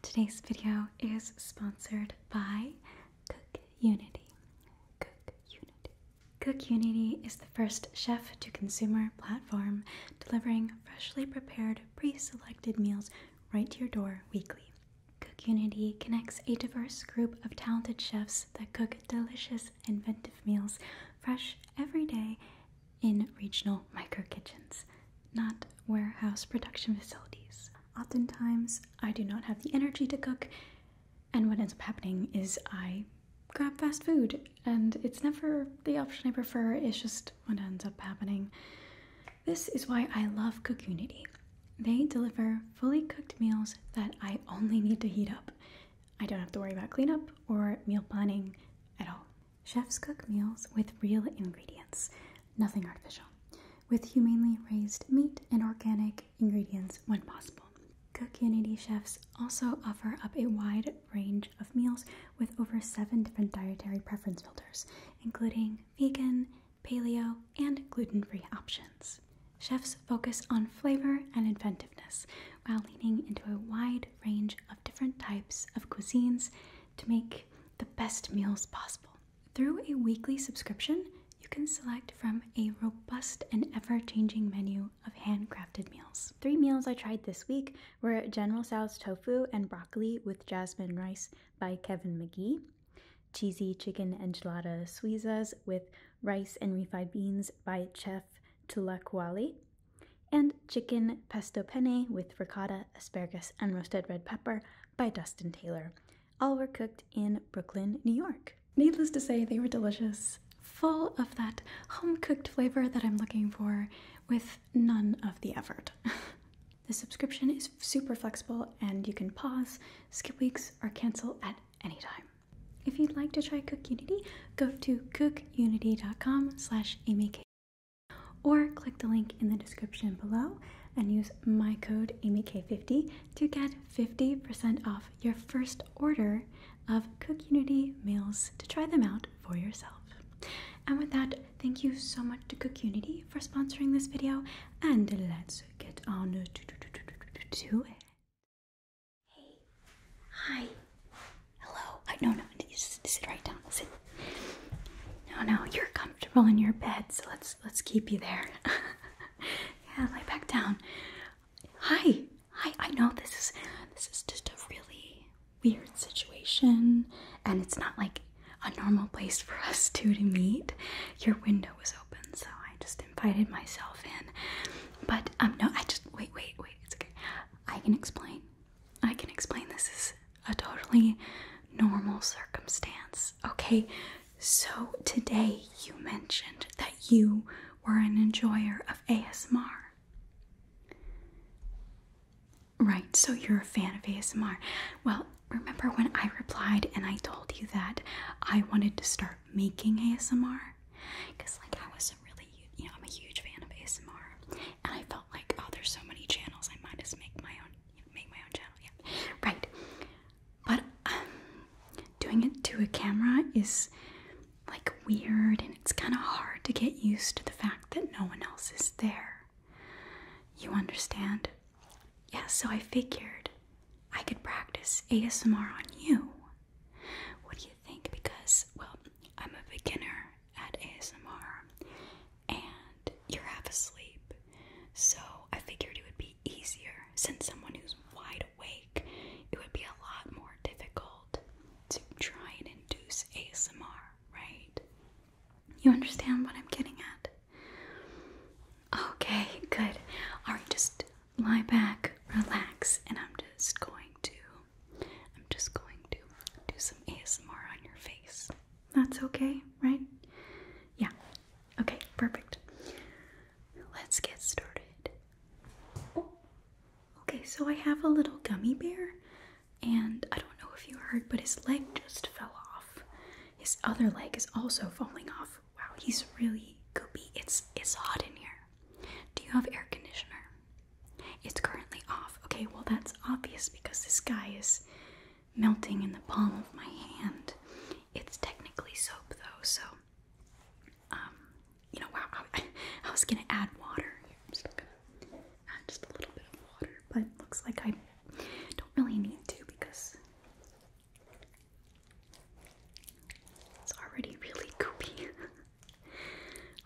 Today's video is sponsored by Cook Unity. Cook Unity. Cook Unity is the first chef to consumer platform delivering freshly prepared, pre selected meals right to your door weekly. Cook Unity connects a diverse group of talented chefs that cook delicious, inventive meals fresh every day in regional micro kitchens, not warehouse production facilities. Oftentimes, I do not have the energy to cook, and what ends up happening is I grab fast food, and it's never the option I prefer, it's just what ends up happening. This is why I love Cookunity. They deliver fully cooked meals that I only need to heat up. I don't have to worry about cleanup or meal planning at all. Chefs cook meals with real ingredients, nothing artificial, with humanely raised meat and organic ingredients when possible. Cookunity chefs also offer up a wide range of meals with over seven different dietary preference filters, including vegan, paleo, and gluten free options. Chefs focus on flavor and inventiveness while leaning into a wide range of different types of cuisines to make the best meals possible. Through a weekly subscription, you can select from a robust and ever changing menu of handcrafted meals. Three meals I tried this week were General Tso's tofu and broccoli with jasmine rice by Kevin McGee, cheesy chicken enchilada suizas with rice and refried beans by chef Tulakwali, and Chicken Pesto Penne with ricotta, asparagus, and roasted red pepper by Dustin Taylor. All were cooked in Brooklyn, New York. Needless to say, they were delicious, full of that home cooked flavor that I'm looking for with none of the effort. the subscription is super flexible and you can pause, skip weeks, or cancel at any time. If you'd like to try Cook Unity, go to cookunity.com slash amyk. Or click the link in the description below and use my code AmyK50 to get 50% off your first order of Cookunity meals to try them out for yourself. And with that, thank you so much to Cookunity for sponsoring this video, and let's get on to it. Hey, hi. Hello? I no no you just sit right down. Sit. No no, you're comfortable in your bed, so let's let's keep you there. yeah, lay back down. Hi. Hi, I know this is this is just a really weird situation and it's not like a normal place for us two to meet. Your window was open, so I just invited myself in. But um no, I just wait, wait, wait, it's okay. I can explain. I can explain this is a totally normal circumstance. Okay, so today you mentioned that you were an enjoyer of ASMR. Right, so you're a fan of ASMR. Well, remember when I replied and I told you that I wanted to start making ASMR? Because, like, I was not really, you know, I'm a huge fan of ASMR and I felt like, oh, there's so many channels. I might just make my own, make my own channel. Yeah, right. But um, doing it to a camera is like weird, and it's kind of hard to get used to the fact that no one else is there. You understand? Yeah. So I figured I could practice ASMR on you. What do you think? Because well, I'm a beginner at ASMR and you're half asleep. So I figured it would be easier since someone who's wide awake, it would be a lot more difficult to try and induce ASMR, right? You understand what I'm getting at? Okay, good. Alright, just lie back, relax, and I'm just going to I'm just going to do some ASMR on your face. That's okay, right? Yeah. Okay, perfect. Let's get started. Okay, so I have a little gummy bear, and I don't know if you heard, but his leg just fell off. His other leg is also falling off. Wow, he's really goopy. It's it's hot in here. Do you have air conditioner? It's currently off. Okay, well, that's obvious because this guy is melting in the palm of my hand. It's technically soap, though, so. Um, you know, wow, I, was gonna add water. Here, I'm still gonna add just a little bit of water, but it looks like I don't really need to because it's already really gooey.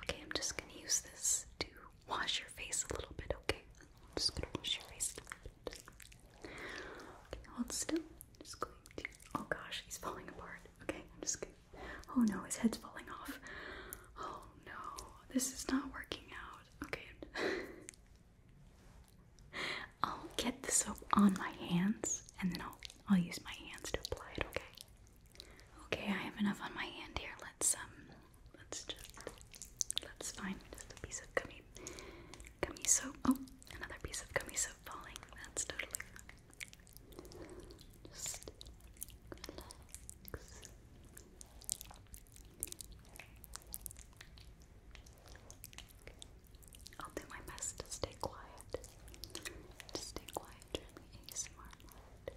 Okay, I'm just gonna use this to wash your face a little bit, okay? I'm just gonna wash your face a little bit. Okay, hold still. just going to. Oh gosh, he's falling apart. Okay, I'm just gonna. Oh no, his head's falling off. Oh no, this is not working out. Okay. I'll get the soap on my hands and then I'll I'll use my hands to apply it, okay? Okay, I have enough on my hand here. Let's um let's just let's find just a piece of gummy gummy soap. Oh, another piece of gummy soap falling. That's totally fine. Just I'll do my best to stay quiet. To stay quiet during the ASMR mode.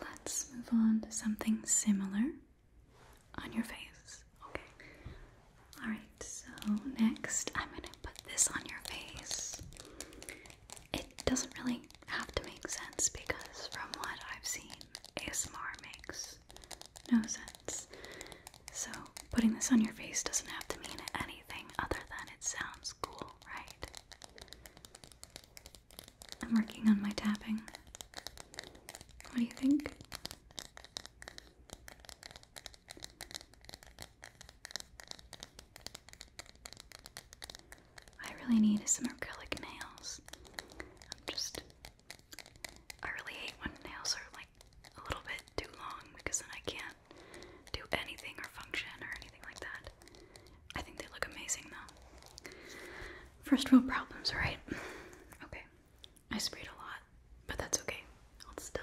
Let's move on to something similar on your face. Okay. Alright, so next I'm going to put this on your face. It doesn't really have to make sense because, from what I've seen, ASMR makes no sense. So, putting this on your face doesn't have to mean anything other than it sounds cool, right? I'm working on my tapping. What do you think? I really need some acrylic nails. I'm just. I really hate when nails are like a little bit too long because then I can't do anything or function or anything like that. I think they look amazing though. First world problems, right? Okay. I sprayed a lot, but that's okay. I'll still.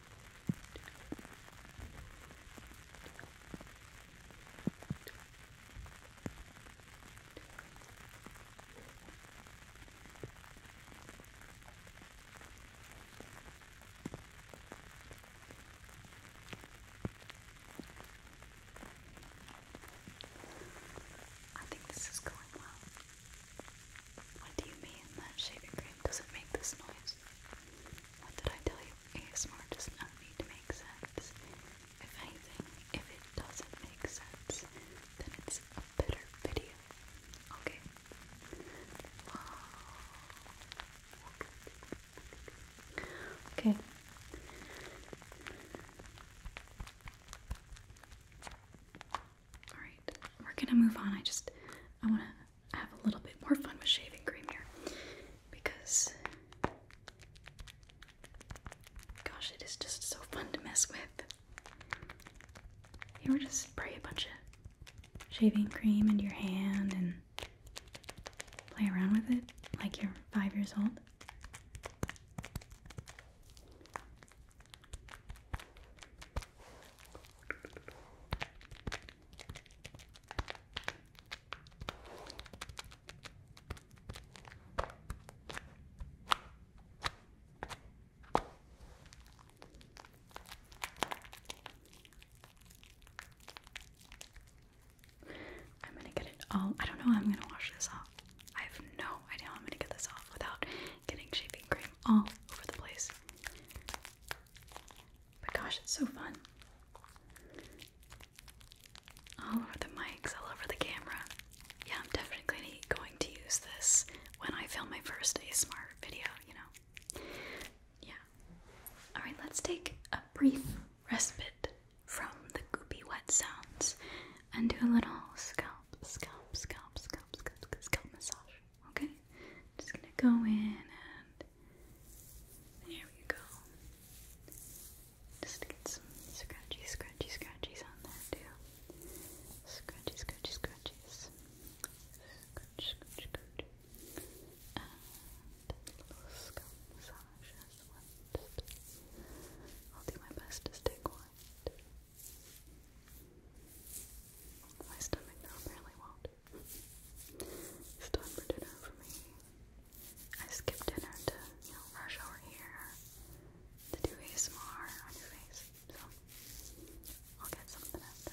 I think this is going well. What do you mean that shaving cream doesn't make this noise? What did I tell you? ASMR does not need to make sense. If anything, if it doesn't make sense, then it's a better video. Okay. Okay. Alright, we're gonna move on. I just I wanna I have a little bit more fun with shaving cream here because gosh, it is just so fun to mess with. You ever just spray a bunch of shaving cream in your hand and play around with it like you're five years old? I'm gonna get it all. I don't know how I'm gonna wash this off. I have no idea how I'm gonna get this off without getting shaving cream all over the place. But gosh, it's so fun. All over the mics, all over the camera. Yeah, I'm definitely going to use this when I film my first ASMR video, you know. Yeah. Alright, let's take a brief respite from the goopy wet sounds and do a little scalp, scalp, scalp, scalp, scalp, scalp, scalp massage. Okay, I'm just gonna go in and there we go. Just get some scratchy, scratchy, scratchies on there too. Scratchy, scratchy, scratchies. Scratch, scratch, scratch. And a little scalp massage as well. I'll do my best to stay quiet. My stomach though really won't. It's time for dinner for me. I skipped dinner to, you know, rush over here to do ASMR on your face. So, I'll get something after.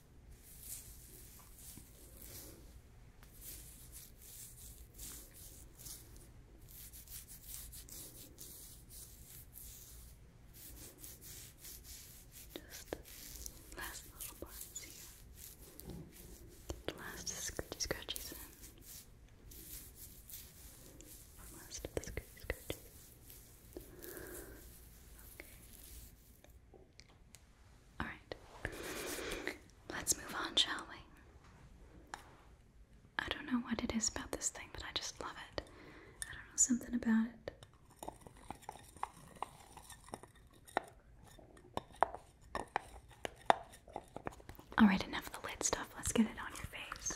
Just last little parts here. Get the last scratchy scratchies in. Last of the scratchy scratchies. Alright. Let's move on, shall we? I don't know what it is about this thing, but I just love it. I don't know, something about it. Alright, enough of the lid stuff. Let's get it on your face.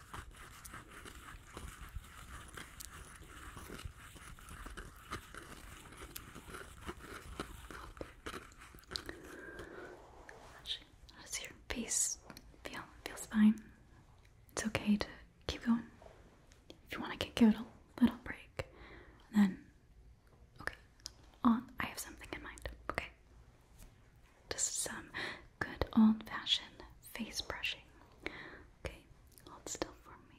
Actually, your face feel? Feels fine. It's okay to keep going. If you want to give it a little break, then okay, on. I have something in mind. Okay. Just some good old fashioned face brushing. Okay, hold still for me.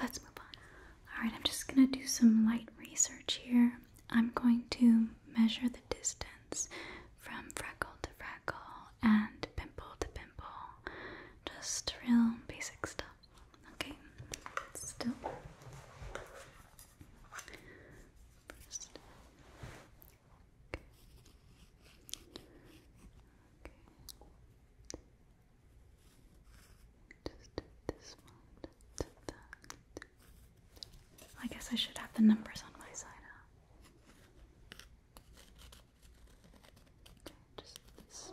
Let's move on. Alright, I'm just going to do some light research here. I'm going to measure the distance from freckle to freckle and pimple to pimple. Just real basic stuff. Okay, still. First. Okay. Just this one I guess I should have the numbers on my side Okay, just this.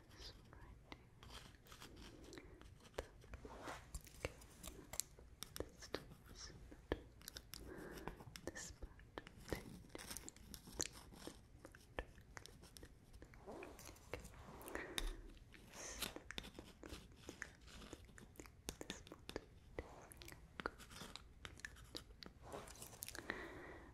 this right here. Okay. This does not this part okay. this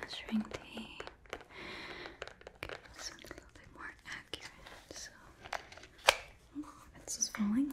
Measuring tape gives a little bit more accurate. So oh, this falling.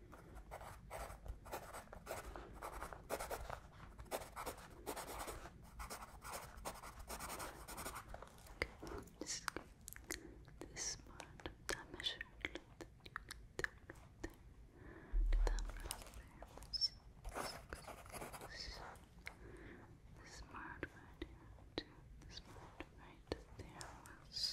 This, this part that measured that you did this part right here, This part right there was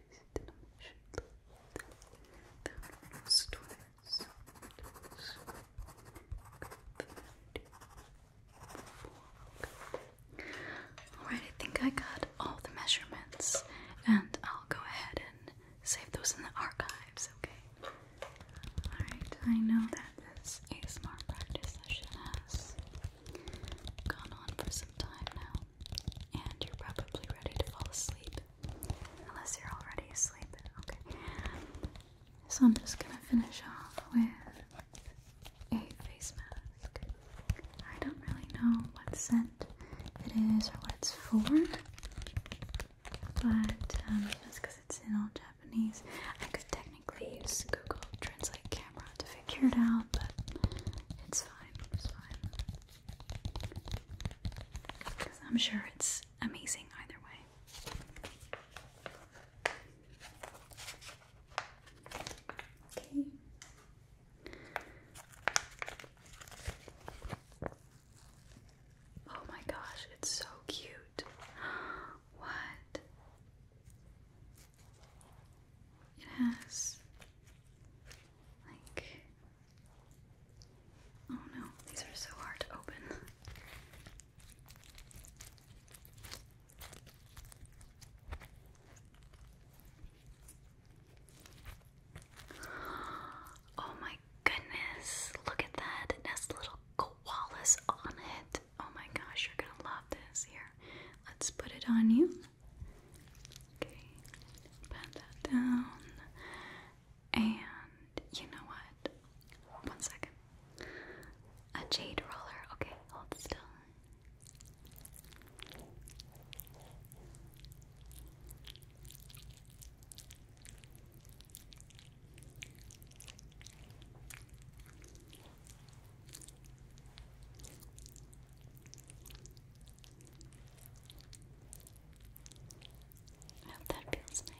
Alright, I think I got all the measurements, and I'll go ahead and save those in the archives, okay? Alright, I know that this ASMR practice session has gone on for some time now, and you're probably ready to fall asleep. Unless you're already asleep. Okay. So I'm just gonna finish off with a face mask. I don't really know what scent it is or what it's for, but um, because it's in all Japanese, I could technically use Google Translate camera to figure it out, but it's fine. It's fine. I'm sure it's amazing either way. Okay. Oh my gosh, it's so cute. what? It has like Oh no, these are so hard to open. Oh my goodness, look at that. It has little koalas on it. Oh my gosh, you're gonna love this. Here, let's put it on you. Okay, pat that down. And you know what? One second. A jade roller. Okay, hold still. I hope that feels nice.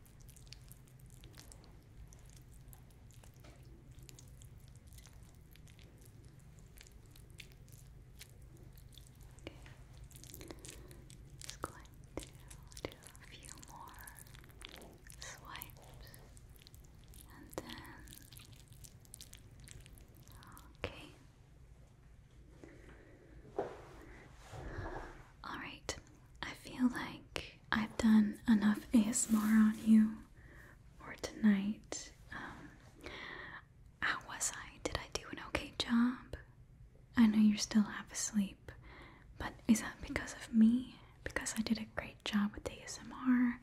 Just going to do a few more swipes and then okay. Alright, I feel like I've done enough ASMR on you for tonight. Um, how was I? Did I do an okay job? I know you're still half asleep, but is that because of me? Because I did a great job with ASMR?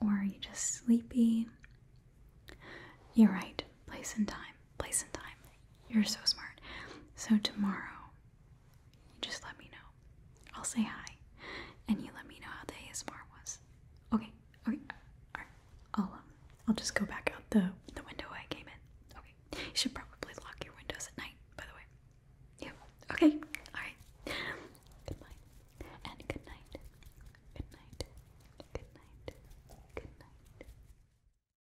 Or are you just sleepy? You're right, place and time place and time. You're so smart. So tomorrow, you just let me know. I'll say hi, and you let me know how the ASMR was. Okay. Okay. All right. I'll um, I'll just go back out the the window I came in. Okay. You should probably lock your windows at night, by the way. Yeah. Okay. All right. Good night. And good night. Good night. Good night. Good night.